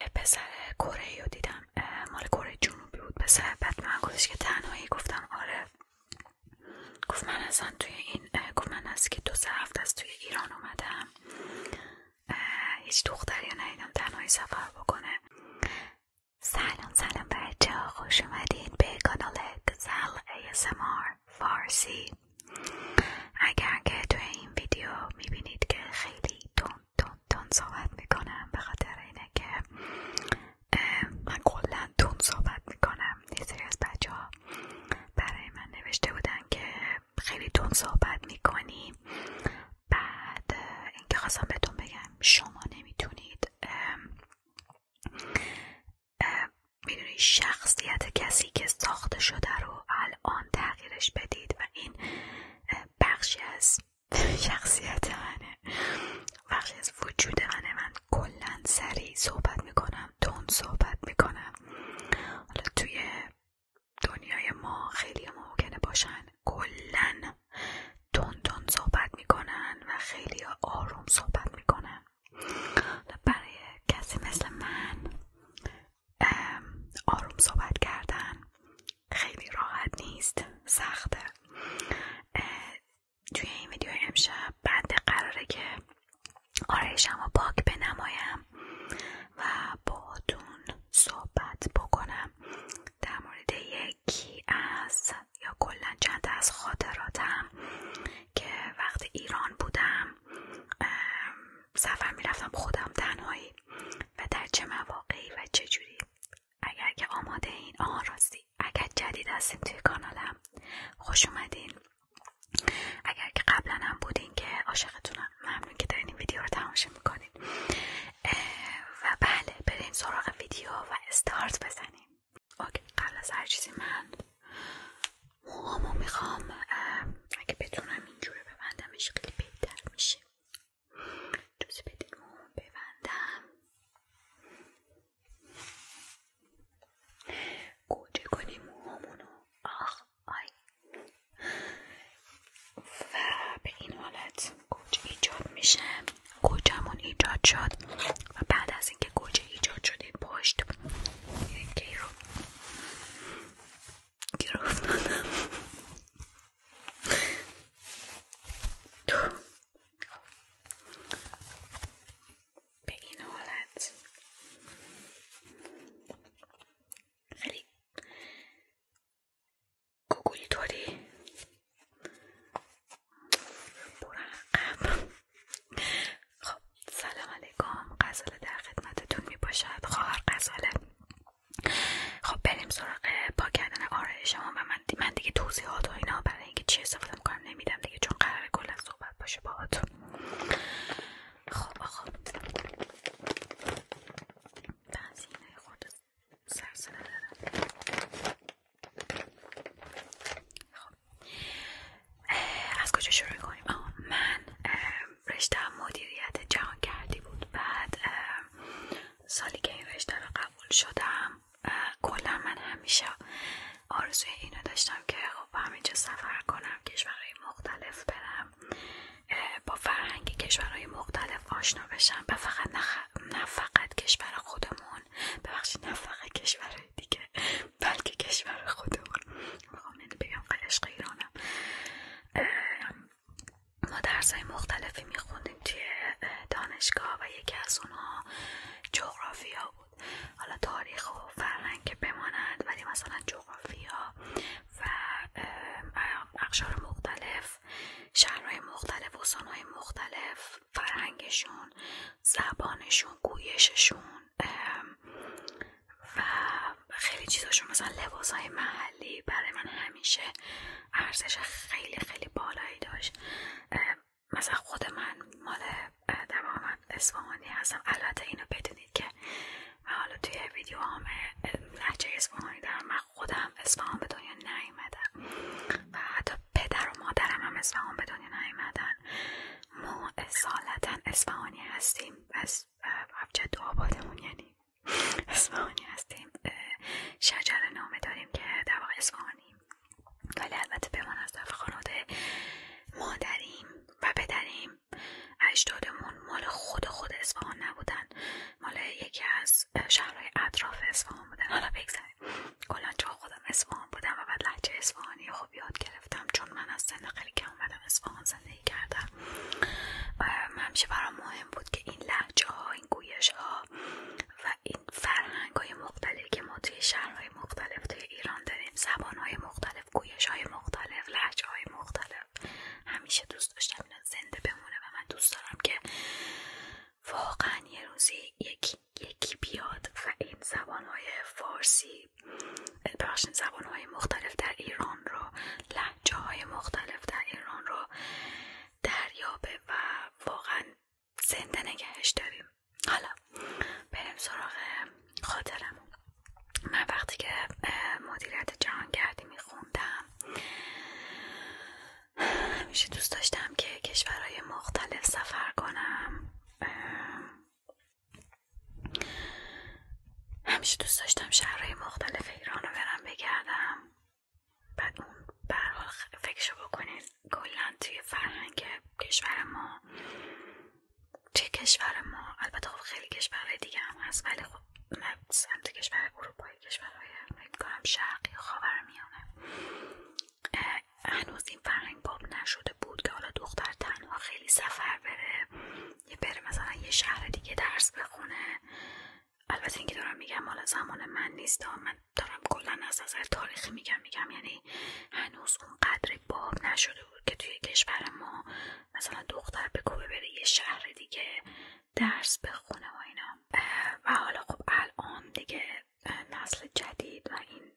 پسر کره رو دیدم مال کره جنوبی بود پسر بعد من گفتش که تنهایی گفتم آره گفت من اصلا توی این گفت من از که دو سه از توی ایران اومدم هیچ دختر یا ندیدم تنهایی سفر بکنه سلام سلام بچه ها خوش اومدین به کانال گزل ASMR فارسی اگر که توی این ویدیو میبینید که خیلی تون دون صحبت میکنم به خاطر اینه که من قولا تون صحبت میکنم یه سری از بچه برای من نوشته بودن که خیلی دون صحبت میکنی بعد اینکه خواستم بهتون بگم شما نمیتونید میدونی شخصیت کسی که ساخته شده رو الان تغییرش بدید و این بخشی از شخصیت منه بخشی از وجود منه من کلا سریع صحبت میکنم دون صحبت میکنم حالا توی دنیای ما خیلی ممکنه باشن کلا دون دون صحبت میکنن و خیلی آروم صحبت میکنن برای کسی مثل من آروم صحبت کردن خیلی راحت نیست سخته توی این ویدیو امشب بنده قراره که آرایشم و پاک بنمایم و تون صحبت بکنم در مورد یکی از یا کلا چند از خاطراتم که وقت ایران بودم سفر میرفتم خودم تنهایی و در چه مواقعی و چه جوری اگر که آماده این آن راستی اگر جدید هستیم توی کانالم خوش اومدین اگر که قبلا هم بودین که عاشقتونم ممنون که دارین این ویدیو رو تماشا میکنین و بله بریم سراغ ویدیو و استارت بزنیم اوکی قبل از هر چیزی من موهامو میخوام اگه بتونم به ببندمش خیلی بهتر میشه جوزی بدین ببندم گوجه کنیم موهامونو آخ آی و به این حالت گوجه ایجاد میشه گوجهمون ایجاد شد و بعد از اینکه گوجه ایجاد شده پشت رو گیر به این حالت خیلی گوگلی طوری برقم خب سلام علیکم غزاله در خدمتتون میباشد خواهر غزاله خب بریم سراغ پاک کردن آرایش شما و من, دیگه توضیحات و اینا برای اینکه چی استفاده میکنم نمیدم دیگه چون قرار کلا صحبت باشه باهاتون خب خب بنزینه خود سر دارم خب از کجا شروع کنیم من رشته مدیریت جهان کردی بود بعد سالی که این رشته رو قبول شدم کلا من همیشه آرزوی اینو داشتم که خب همینجا سفر کنم کشورهای مختلف برم با فرهنگ کشورهای مختلف آشنا بشم و فقط نه فقط کشور خودمون ببخشید نه فقط کشورهای دیگه بلکه کشور خودمون میخوام اینو بگم قلشق ایرانم ما درس های مختلفی میخوندیم توی دانشگاه و یکی از اونا جغرافیا بود حالا تاریخ و فرهنگ که بماند ولی مثلا جغرافیا و اقشار مختلف شهرهای مختلف استانهای مختلف فرهنگشون زبانشون گویششون و خیلی چیزاشون مثلا لباس های محلی برای من همیشه ارزش خیلی خیلی بالایی داشت مثلا خود من مال تمام من اسفهانی هستم البته اینو بدونید که من حالا توی ویدیو هم لحجه اسفهانی دارم من خودم اسفهان به دنیا نیومدم و حتی پدر و مادرم هم اسفهان به دنیا نیومدن ما اصالتا اسفهانی هستیم و. از دو آبادمون یعنی اصفهانی هستیم شجر نامه داریم که در واقع ولی البته به من از طرف خانواده مادریم و پدریم اجدادمون مال خود خود اصفهان نبودن مال یکی از شهرهای اطراف اسفهان بودن حالا بگذاریم کلا جا خودم اصفهان بودم و بعد لهجه اصفهانی خوب یاد گرفتم چون من از سن خیلی که اومدم اصفهان کردم همیشه برام مهم بود که این لحجه این گویش ها و این فرهنگ های که ما توی شهرهای مختلف توی ایران داریم زبان های مختلف گویش های مختلف لحجه های مختلف همیشه دوست داشتم اینا زنده بمونه و من دوست دارم که واقعا یه روزی یکی, یکی بیاد و این زبان های فارسی بخشین زبانهای مختلف در ایران رو لحجه های مختلف در ایران رو دریابه و واقعا زنده نگهش داریم حالا بریم سراغ خاطرم من وقتی که مدیریت جهانگردی میخوندم همیشه دوست داشتم که کشورهای مختلف سفر کنم همیشه دوست داشتم شهرهای مختلف ایران رو برم بگردم بعد اون برحال فکرشو بکنید کلا توی فرهنگ کشور ما چه کشور ما البته خب خیلی کشورهای دیگه هم هست ولی خب سمت کشور اروپایی کشورهای فکر شرقی خاورمیانه هنوز از این باب نشده بود که حالا دختر تنها خیلی سفر بره یه بره مثلا یه شهر دیگه درس بخونه البته اینکه دارم میگم حالا زمان من نیست من دارم کلا از نظر تاریخی میگم میگم یعنی هنوز اون قدر باب نشده بود که توی کشور ما مثلا دختر به کوبه بره یه شهر دیگه درس بخونه و اینا و حالا خب الان دیگه نسل جدید و این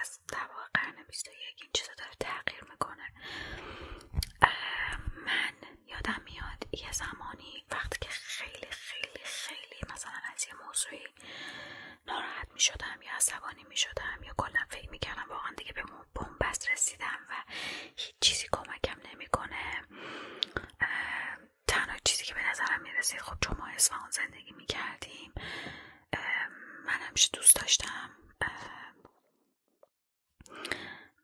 از طبق قرن 21 این چیزا داره تغییر میکنه من یادم میاد یه زمانی وقتی که خیلی خیلی خیلی مثلا از یه موضوعی ناراحت میشدم یا عصبانی میشدم یا کلا فکر میکردم واقعا دیگه به بنبست رسیدم و هیچ چیزی کمکم نمیکنه تنها چیزی که به نظرم میرسید خب چون ما اصفهان زندگی میکردیم من همیشه دوست داشتم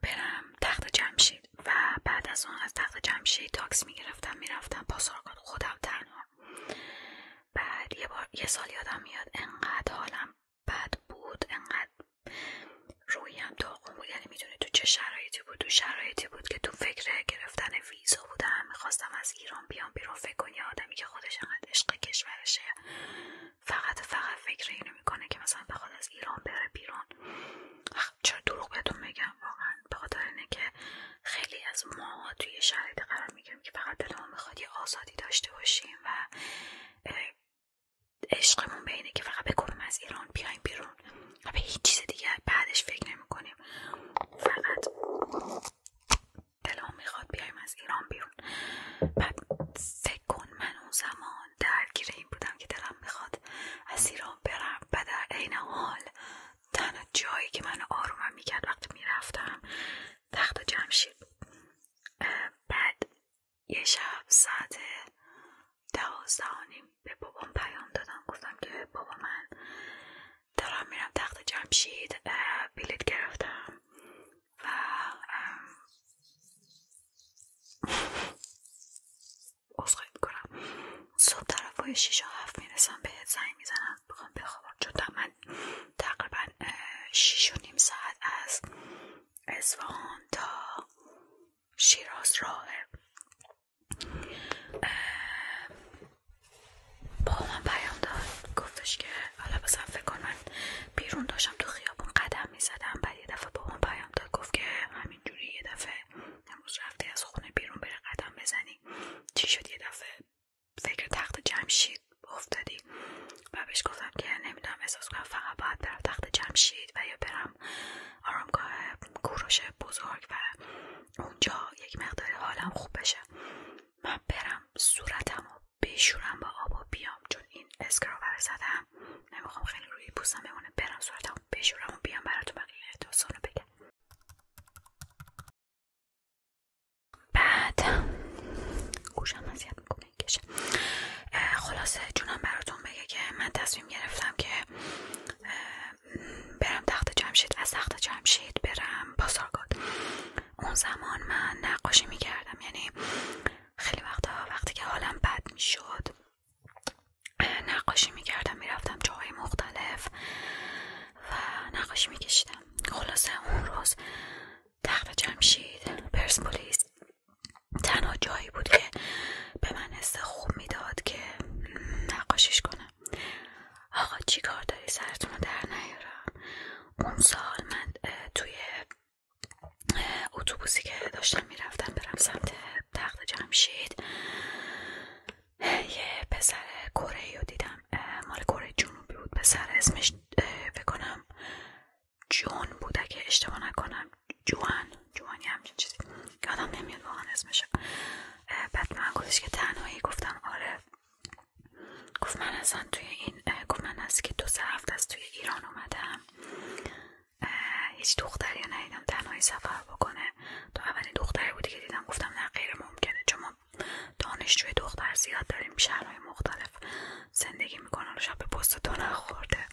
برم تخت جمشید و بعد از اون از تخت جمشید تاکس میگرفتم میرفتم با خودم تنها بعد یه, بار یه سال یادم میاد انقدر حالم بد بود انقدر رویم داغون بود یعنی میدونی تو چه شرایطی بود تو شرایطی بود که تو فکر گرفتن ویزا بودم میخواستم از ایران بیام بیرون فکر یه آدمی که خودش انقد عشق کشورشه فقط فقط فکر اینو میکنه که مثلا بخواد از ایران بره بیرون چرا دروغ بهتون میگم واقعا به اینه که خیلی از ما توی شرایط قرار میگیریم که فقط دلمون میخواد یه آزادی داشته باشیم و عشقمون به اینه که فقط بکنم از ایران بیایم بیرون و به هیچ چیز دیگه بعدش فکر نمیکنیم فقط دلم میخواد بیایم از ایران بیرون بعد فکر کن من اون زمان درگیر این بودم که دلم میخواد از ایران برم و در عین حال تنها جایی که من آرومم میکرد وقتی میرفتم تخت جمشید بعد یه شب ساعت دوازده به بابام پیام دادم گفتم که بابا من دارم میرم تخت جمشید بلیت گرفتم و عذرخواهی میکنم صبح طرف های و هفت میرسم بهت زنگ میزنم به بخوابم چون من تقریبا شیش و نیم ساعت از اصفهان تا شیراز راهه با من پیام داد گفتش که حالا به فکر کن من بیرون داشتم تو خیابون قدم میزدم بعد یه دفعه با من پیام داد گفت که همینجوری یه دفعه امروز رفته از خونه بیرون بره قدم بزنی چی شد یه دفعه فکر تخت جمشید افتادی و بهش گفتم که نمیدونم احساس کنم فقط باید در تخت جمشید و یا برم آرامگاه کوروش بزرگ و اونجا یک مقدار حالم خوب بشه من برم صورتم رو بشورم با آب بیام چون این اسکراب زدم نمیخوام خیلی روی پوستم بمونه برم صورتم بشورم و بیام براتون بقیه داستان رو بگم بعد گوشم اذیت میکنه کشه خلاصه جونم براتون بگه که من تصمیم گرفتم که برم تخت جمشید از تخت جمشید برم بازارگاد اون زمان من نقاشی میکردم یعنی خیلی وقتا وقتی که حالم بد میشد نقاشی میکردم میرفتم جاهای مختلف و نقاشی میکشیدم خلاصه اون روز تخت جمشید پرسپولیس تنها جایی بود که به من حس خوب میداد که نقاشیش کنم آقا چی کار داری سرتون در نیارم اون سال من توی اتوبوسی که داشتم میرفتم برم سمت تخت جمشید یه پسر کره رو دیدم مال کره جنوبی بود پسر اسمش بکنم جون بوده که اشتباه نکنم جوان جوانی همچین چیزی آدم نمیاد واقعا اسمش بعد من گفتش که تنهایی گفتم آره گفت من اصلا توی این گفت من از که دو سه هفته از توی ایران اومدم هیچ دختری رو ندیدم تنهایی سفر بکنه تو اولین دختری بودی که دیدم گفتم نه غیر ممکنه چون ما دانشجوی دختر زیاد داریم شهرهای مختلف زندگی میکنن و شب به پست تو نخورده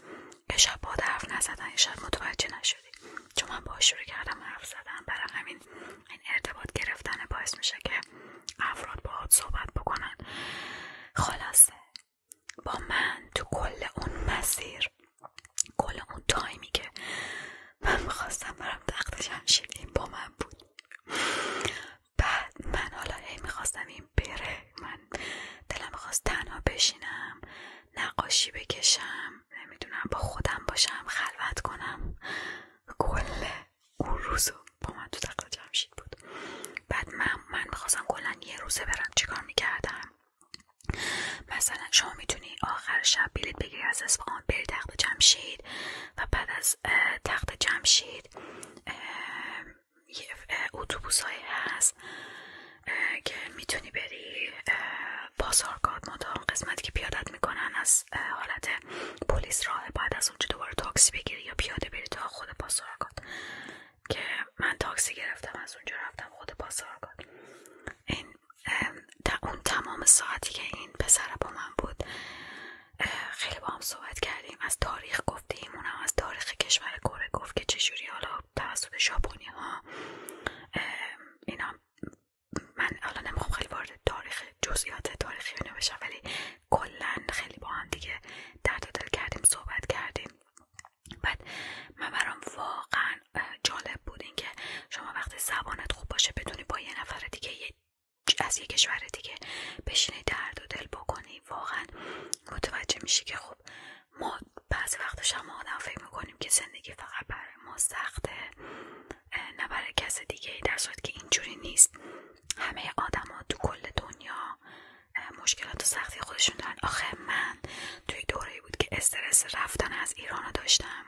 که شب با حرف نزدن شب متوجه نشدی چون من با شروع کردم حرف زدن برای همین این ارتباط گرفتن باعث میشه که افراد باهات صحبت بکنن خلاصه با من تو کل اون مسیر کل اون تایمی که من میخواستم برم تخت این با من بود بعد من حالا این میخواستم این بره من دلم میخواست تنها بشینم نقاشی بکشم نمیدونم با خودم باشم خلوت کنم کل اون روز با من تو تخت جمشید بود بعد من, من میخواستم کل یه روزه برم چیکار میکردم مثلا شما میتونی آخر شب بلیت بگیری از اصفهان بری تخت جمشید و بعد از تخت جمشید اتوبوس های هست که میتونی بری بازارگاه مدام قسمتی که پیادت میکنن از حالت پلیس راه بعد از اونجا دوباره تاکسی بگیری یا پیاده بری تا خود پاسارگاد که من تاکسی گرفتم از اونجا رفتم خود پاسارگاد این اون تمام ساعتی که این پسر با من بود خیلی با هم صحبت کردیم از تاریخ گفتیم اونم از تاریخ کشور کره گفت که چجوری حالا توسط شاپونی ها اینا من الان نمیخوام خیلی وارد تاریخ جزئیات تاریخی اینو بشم ولی کلا خیلی با هم دیگه درد دل کردیم صحبت کردیم بعد من برام واقعا جالب بود این که شما وقتی زبانت خوب باشه بدونی با یه نفر دیگه از یه کشور دیگه بشینی درد و دل بکنی واقعا متوجه میشی که خب ما بعضی وقتش هم آدم فکر میکنیم که زندگی فقط برای ما سخته نه کس دیگه ای در صورت که اینجوری نیست همه آدما تو کل دنیا مشکلات و سختی خودشون دارن آخه من توی دوره بود که استرس رفتن از ایران داشتم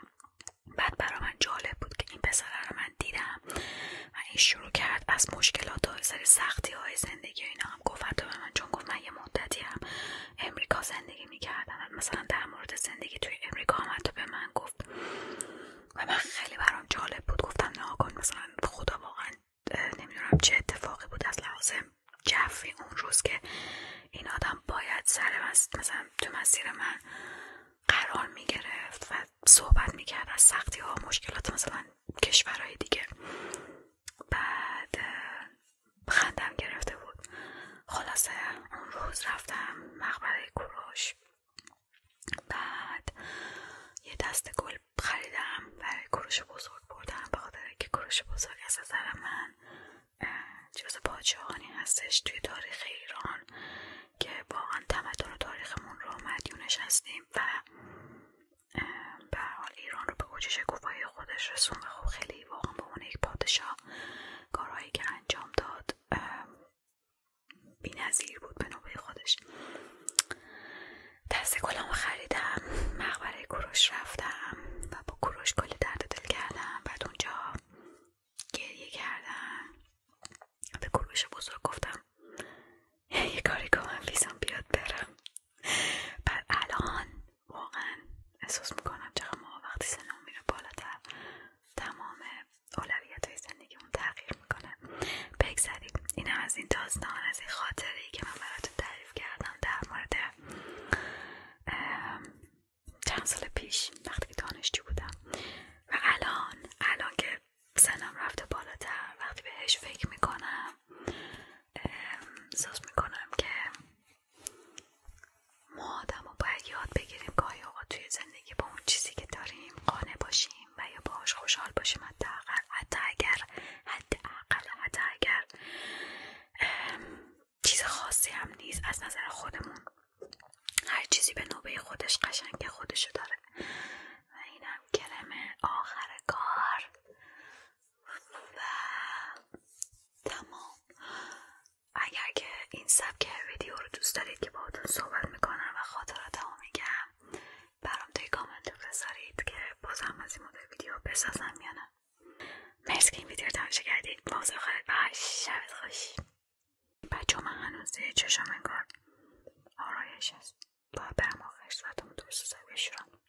بعد برای من جالب بود که این پسره رو من دیدم و این شروع کرد از مشکلات و سر سختی های زندگی اینا هم گفت به من چون گفت من یه مدتی هم امریکا زندگی میکردن مثلا در مورد زندگی توی امریکا هم تو به من گفت و من خیلی برام جالب بود گفتم ناکن مثلا خدا واقعا نمیدونم چه اتفاقی بود از لحاظ جفی اون روز که این آدم باید سره مثلا تو مسیر من قرار میگرفت و صحبت میکرد از سختی ها و مشکلات مثلا کشورهای دیگه بعد خندم گرفته بود خلاصه اون روز رفتم مقبره کوروش بعد یه دست گل خریدم برای کوروش بزرگ بردم به خاطر که کوروش بزرگ از نظر من جز پادشاهانی هستش توی تاریخ ایران که واقعا تمدن تاریخمون رو مدیونش نشستیم و به ایران رو به اوج کوفه خودش رسون و خب خیلی واقعا به اون یک پادشاه کارهایی که انجام داد بی نظیر بود به نوبه خودش دست گلم خریدم مقبره کوروش رفتم و با کوروش کلی درد دل کردم بعد اونجا گریه کردم به کروش بزرگ گفتم یه کاری که من ویزم بیاد برم بعد الان واقعا احساس میکنم چرا ما وقتی سنمون میره بالاتر تمام اولویت های زندگیمون تغییر میکنه بگذاریم اینم از این داستان از این خاطره ای که من براتون تعریف کردم در مورد چند سال پیش وقتی که دانشجو بودم و الان الان که سنم رفته بالاتر وقتی بهش فکر میکنم احساس میکنم که ما آدم رو باید یاد بگیریم که آیا توی زندگی با اون چیزی که داریم قانع باشیم و یا باهاش خوشحال باشیم حداقل حتی اگر حتی اگر چیز خاصی هم نیست از نظر خودمون هر چیزی به نوبه خودش قشنگه خودشو داره و اینم کلمه آخر کار و تمام اگر که این سبک ویدیو رو دوست دارید که باهاتون صحبت میکنم و خاطراتمو میگم برام توی کامنت بذارید که بازم از این مدل ویدیو بسازم یا نه مرسی که این ویدیو رو تماشا کردید موضوع خواهد باش شبت خوش بچه من هنوز توی چشم انگار آرایش هست باید برم آخر صورتمو دوست بشورم